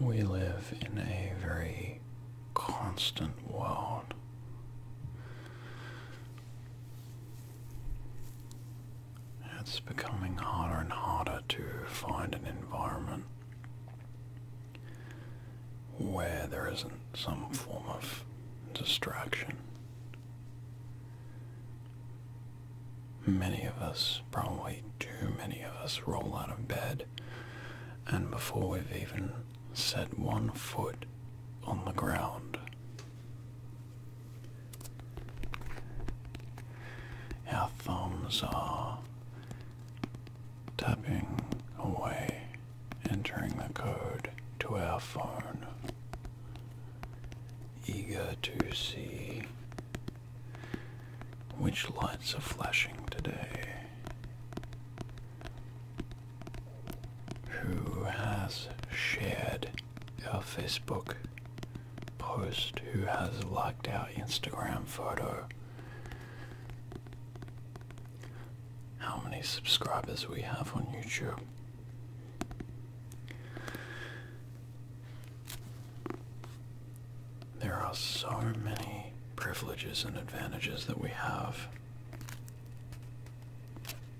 We live in a very constant world. It's becoming harder and harder to find an environment where there isn't some form of distraction. Many of us, probably too many of us, roll out of bed and before we've even set one foot on the ground. Our thumbs are tapping away, entering the code to our phone, eager to see which lights are flashing today who has shared a Facebook post, who has liked our Instagram photo, how many subscribers we have on YouTube. There are so many privileges and advantages that we have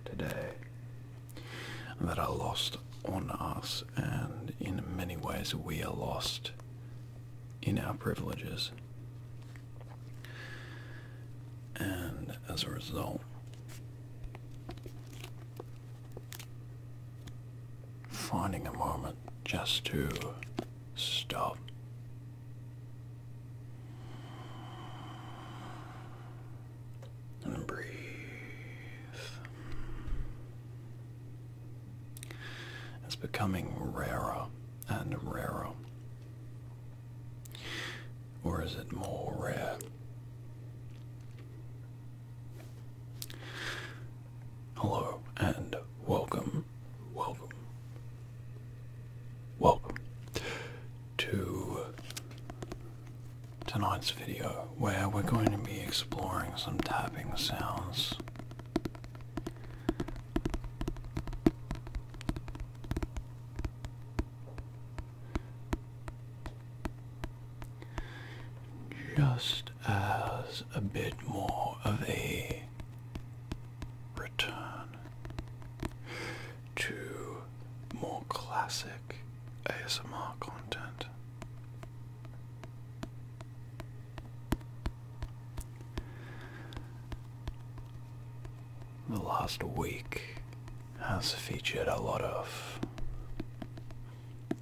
today that are lost on us, and in many ways, we are lost in our privileges. And as a result, finding a moment just to Stop. And breathe. It's becoming rarer and rarer. Or is it more rare? Hello and welcome, welcome, welcome to tonight's video where we're going to be exploring some tapping sounds. Just as a bit more of a return to more classic ASMR content. The last week has featured a lot of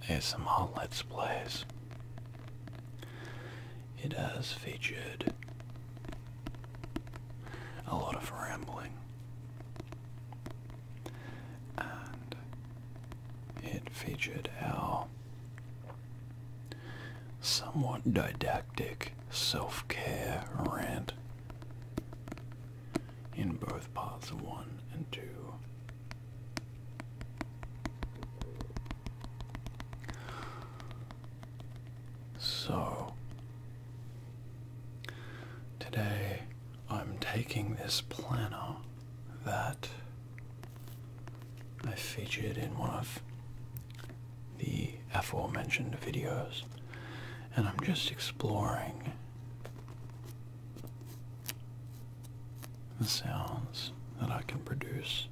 ASMR Let's Plays it has featured a lot of rambling and it featured our somewhat didactic self-care rant in both parts one and two. So, today I'm taking this planner that I featured in one of the aforementioned videos, and I'm just exploring the sounds that I can produce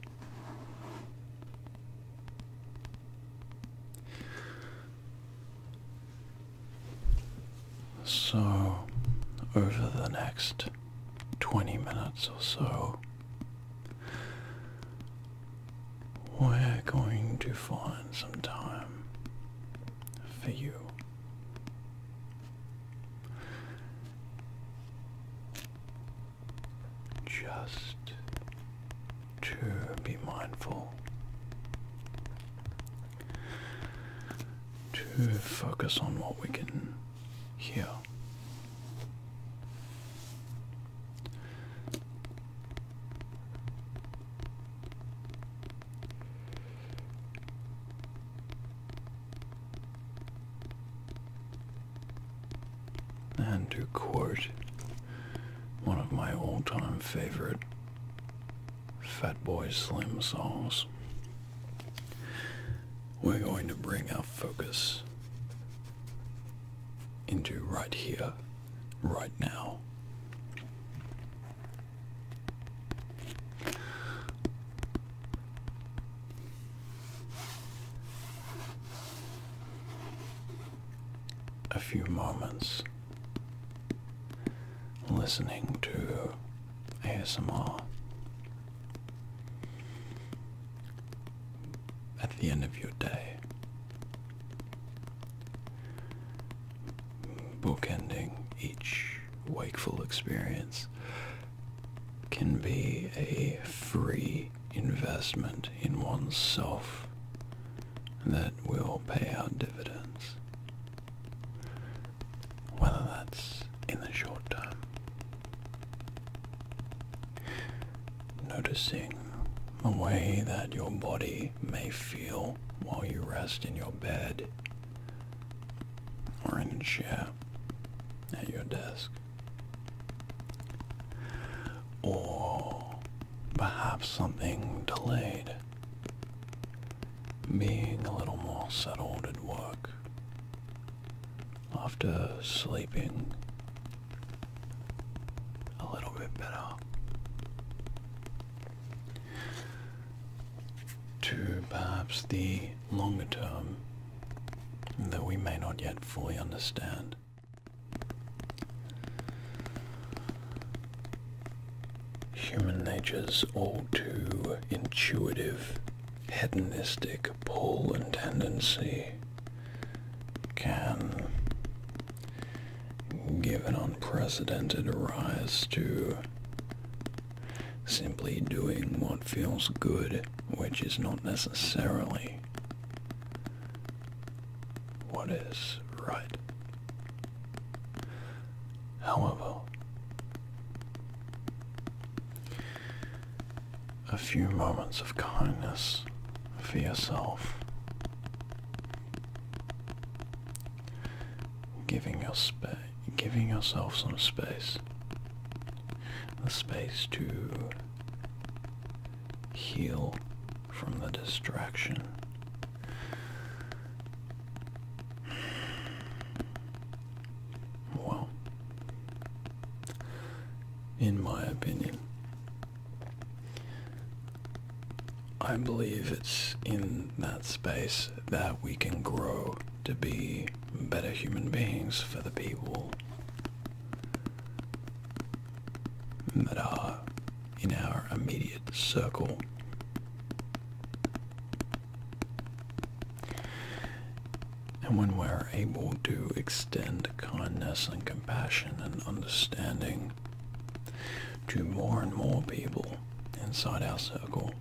so, over the next 20 minutes or so, we're going to find some time for you just to be mindful, to focus on what we can hear and to quote one of my all-time favorite Fat Fatboy Slim songs, we're going to bring our focus into right here, right now a few moments listening to ASMR. At the end of your day, bookending each wakeful experience can be a free investment in oneself that will pay out dividends. Whether that's in the short term. Noticing a way that your body may feel while you rest in your bed or in a chair at your desk. Or perhaps something delayed. Being a little more settled at work. After sleeping a little bit better. To perhaps the longer term that we may not yet fully understand. Human nature's all too intuitive, hedonistic pull and tendency can give an unprecedented rise to simply doing what feels good, which is not necessarily what is right. However, a few moments of kindness for yourself, giving, your yourself some space, the space to heal from the distraction. Well, in my opinion, I believe it's in that space that we can grow to be better human beings for the people that are in our immediate circle. And when we're able to extend kindness and compassion and understanding to more and more people inside our circle,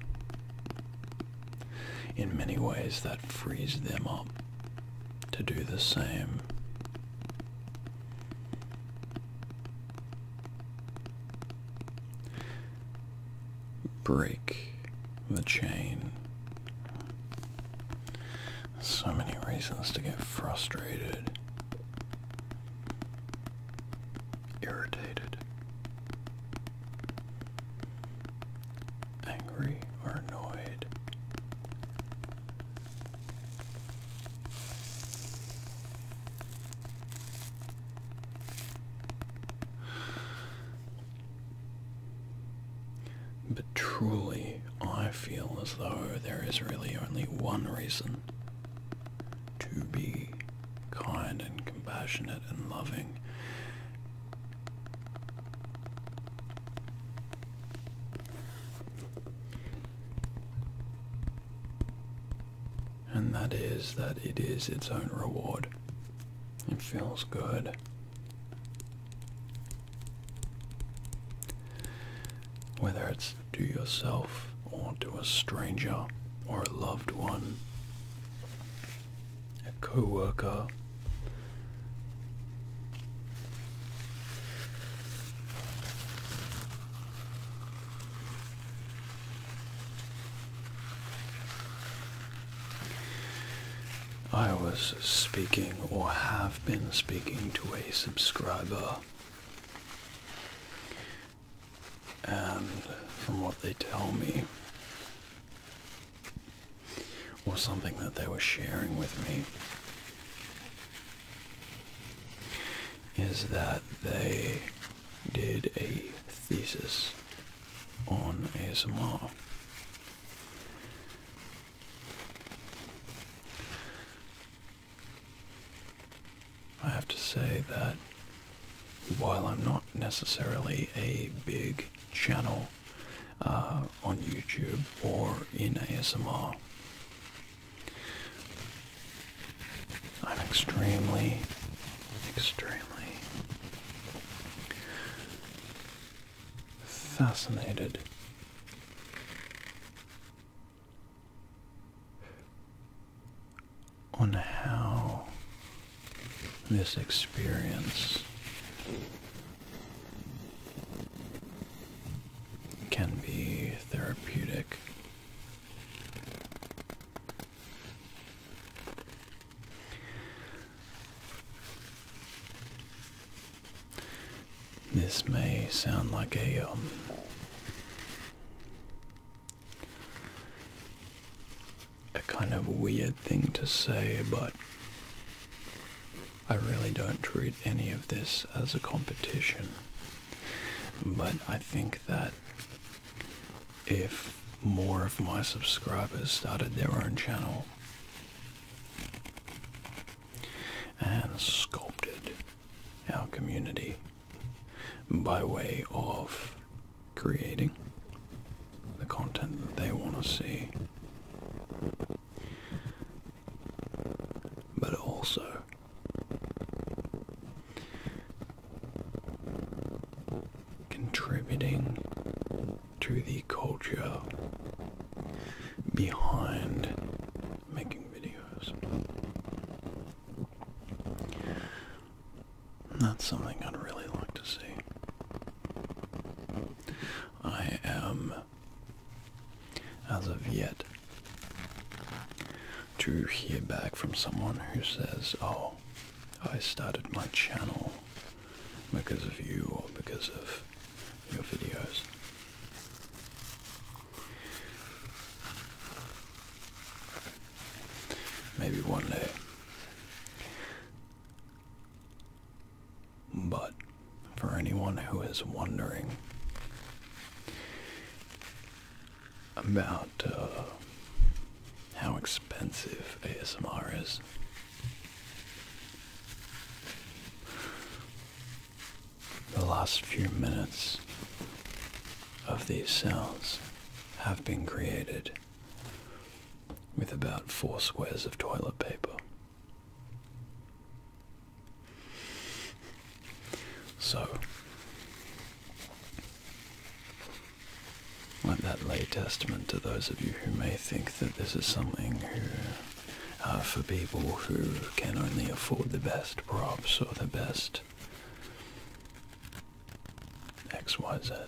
in many ways that frees them up to do the same Break the chain. So many reasons to get frustrated, irritated, angry, or annoyed. But truly, I feel as though there is really only one reason to be kind and compassionate and loving. And that is that it is its own reward. It feels good. Whether it's to yourself or to a stranger or a loved one, a co-worker, I was speaking or have been speaking to a subscriber, and from what they tell me, or something that they were sharing with me is that they did a thesis on ASMR. I have to say that while I'm not necessarily a big channel uh, on YouTube or in ASMR, I'm extremely, extremely fascinated on how this experience can be therapeutic. This may sound like a um, a kind of weird thing to say, but I really don't treat any of this as a competition. But I think that if more of my subscribers started their own channel and sculpted our community by way of creating the content that they want to see, but also contributing to the culture behind making videos. That's something I'd really like to see. I am as of yet to hear back from someone who says, oh, I started my channel because of you or because of your videos. Maybe one day. But for anyone who is wondering about uh, how expensive ASMR is. The last few minutes of these sounds have been created with about four squares of toilet paper. So, like that lay testament to those of you who may think that this is something uh, for people who can only afford the best props or the best XYZ.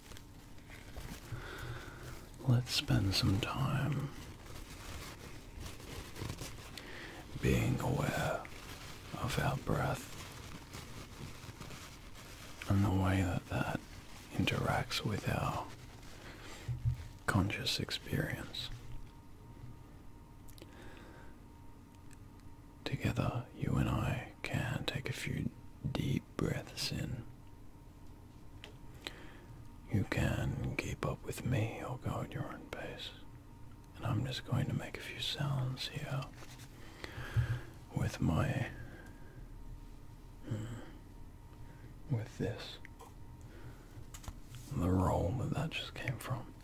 Let's spend some time being aware of our breath and the way that that interacts with our conscious experience. Together, you and I can take a few deep breaths in you can keep up with me or oh go at your own pace. And I'm just going to make a few sounds here with my. Hmm, with this. The roll that that just came from.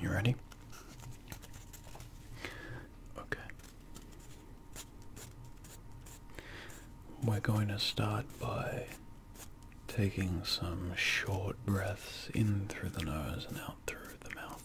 You ready? Okay. We're going to start by taking some short breaths in through the nose and out through the mouth.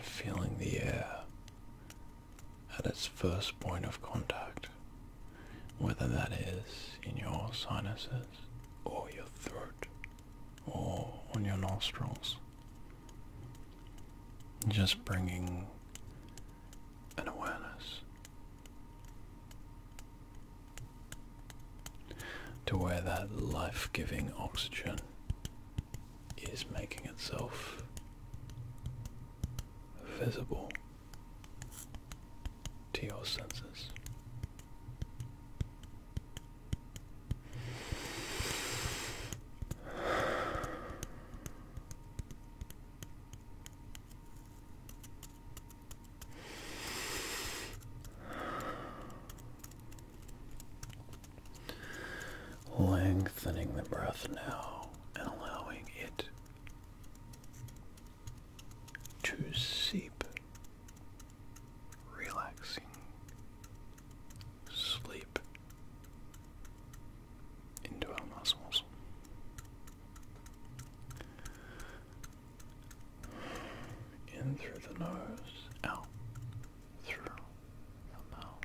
Feeling the air at its first point of contact, whether that is in your sinuses or your throat or on your nostrils. Just bringing and awareness to where that life-giving oxygen is making itself visible to your senses. Lengthening the breath now and allowing it to seep, relaxing sleep into our muscles. In through the nose, out through the mouth.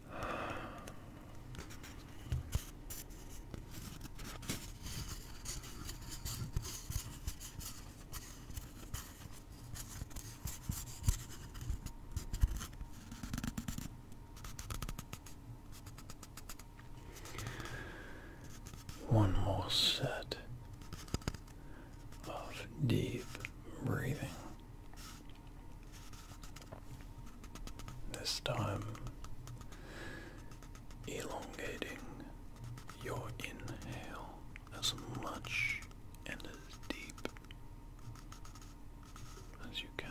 One more set of deep breathing. This time, elongating your inhale as much and as deep as you can.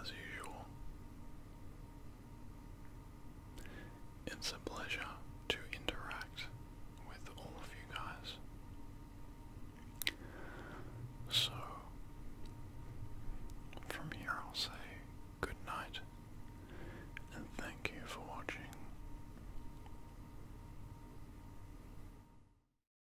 as usual. It's a pleasure to interact with all of you guys. So, from here I'll say good night and thank you for watching.